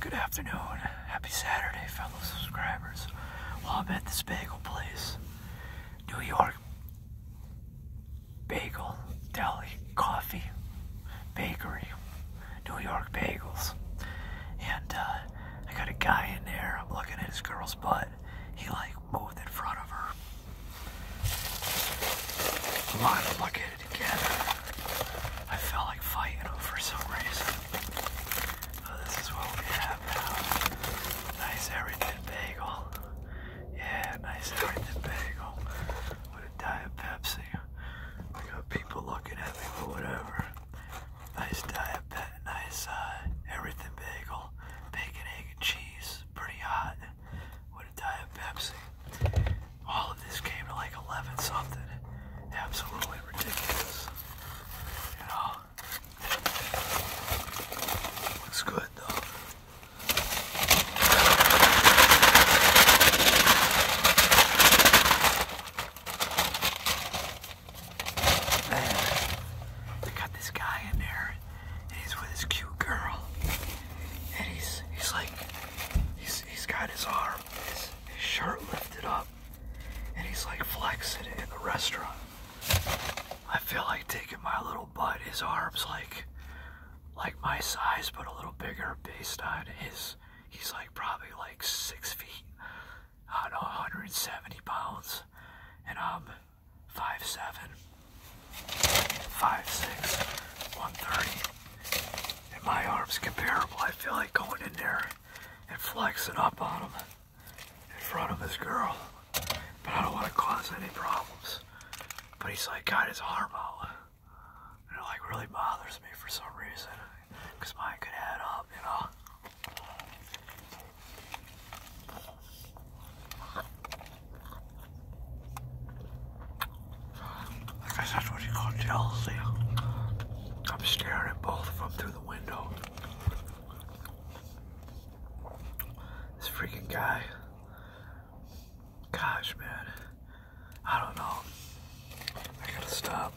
Good afternoon. Happy Saturday, fellow subscribers. Well, I'm at this bagel place. New York Bagel Deli Coffee Bakery. New York Bagels. And uh, I got a guy in there. I'm looking at his girl's butt. He like moved in front of her. Come on, look it started I felt like fighting them for some reason. But this is what we have now. Nice everything bagel. Yeah, nice everything bagel. With a diet Pepsi. I got people looking at me, but whatever. Nice diet, nice uh, everything bagel. Bacon, egg, and cheese. Pretty hot would have Pepsi. All of this came to like 11 something. Absolutely ridiculous. Looks good though. Man, they got this guy in there, he's with his cute girl, and he's he's like he's got his arm his shirt lifted up and he's like flexing in the restaurant i feel like taking my little butt his arms like like my size but a little bigger based on his he's like probably like six feet i 170 pounds and i'm five seven five six 130 and my arm's comparable. I feel like going in there and flexing up on him in front of his girl. But I don't want to cause any problems. But he's like got his arm out. And it like really bothers me for some reason. Because mine could add up, you know. I guess that's what you call jealousy. I'm staring at both of them through the window. This freaking guy. Gosh, man. I don't know. I gotta stop.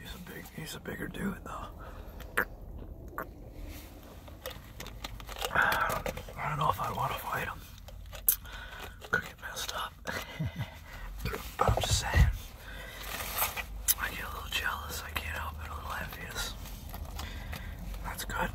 He's a big, he's a bigger dude though. I don't, know if I want to fight him. Could get messed up. I'm just saying. I get a little jealous. I can't help it. A little envious. That's good.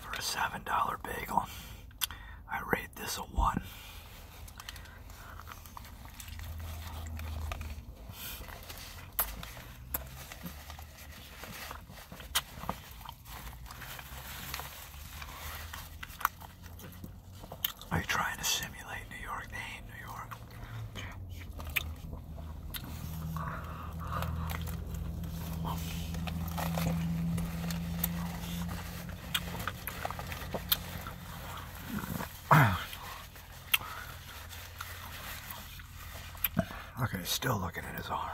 For a $7 bagel, I rate this a 1. Are you trying to simulate New York? New York. Okay, still looking at his arm.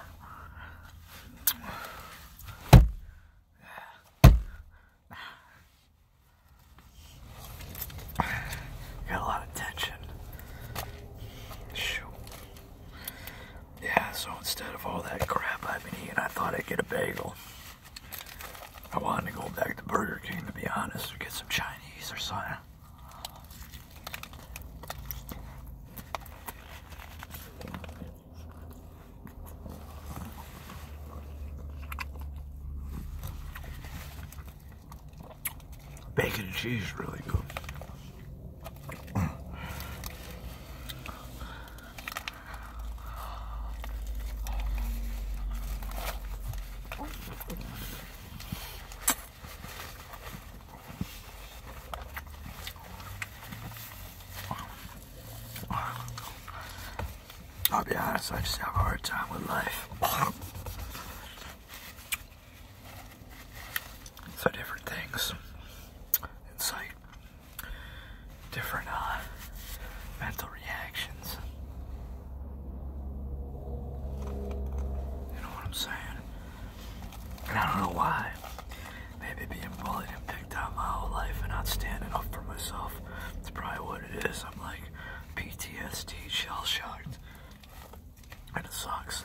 Got a lot of tension. Yeah, so instead of all that crap I've been eating, I thought I'd get a bagel. I wanted to go back to Burger King, to be honest, or get some Chinese or something. Bacon and cheese really good. I'll be honest, I just have a hard time with life. so different things. It's like different uh, mental reactions. You know what I'm saying? And I don't know why. Maybe being bullied and picked on my whole life and not standing up for myself. That's probably what it is. I'm like PTSD shell shocked. And it sucks.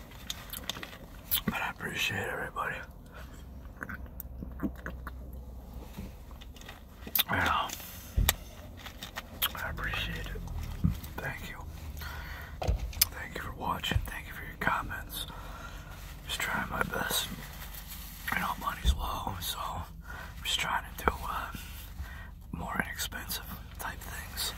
I appreciate everybody. You I appreciate it. Thank you. Thank you for watching. Thank you for your comments. Just trying my best. You know, money's low, so I'm just trying to do uh, more expensive type things.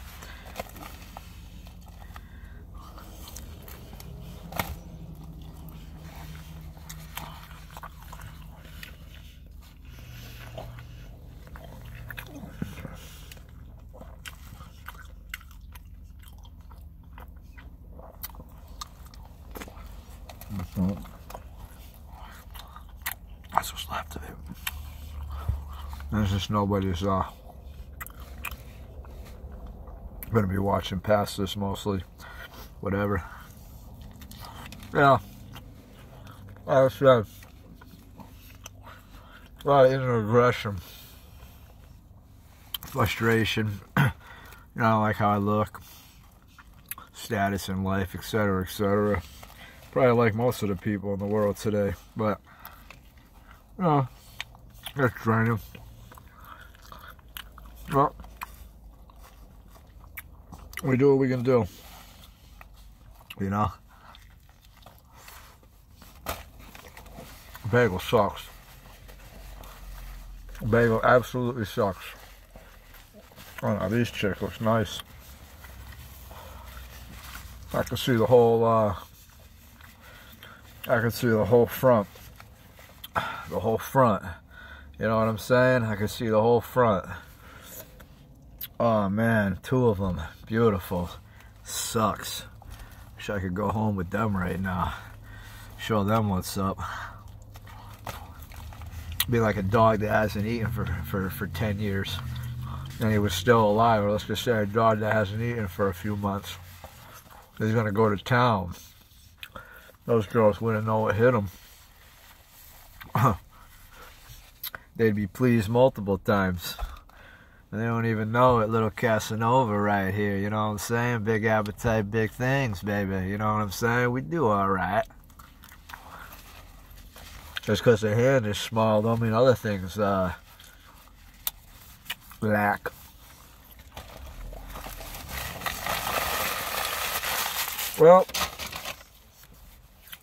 That's what's left of it. There's just nobody's uh, I'm going to be watching past this mostly. Whatever. Yeah. Like I said, a lot of inner aggression, frustration, you know, like how I look, status in life, etc., etc. Probably like most of the people in the world today, but Oh, that's draining. Well, we do what we gonna do. You know? Bagel sucks. Bagel absolutely sucks. Oh no, these chicklets, nice. I can see the whole uh, I can see the whole front. The whole front. You know what I'm saying? I can see the whole front. Oh man, two of them. Beautiful. Sucks. Wish I could go home with them right now. Show them what's up. Be like a dog that hasn't eaten for, for, for 10 years and he was still alive, or let's just say a dog that hasn't eaten for a few months, he's going to go to town. Those girls wouldn't know what hit them. They'd be pleased multiple times. And they don't even know it, little Casanova right here, you know what I'm saying? Big appetite, big things, baby, you know what I'm saying? We do all right. Just because the hand is small don't mean other things uh, black. Well,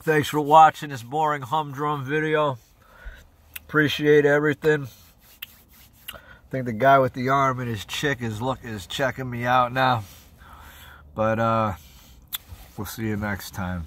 thanks for watching this boring humdrum video. Appreciate everything. I think the guy with the arm and his chick is look is checking me out now. But uh, we'll see you next time.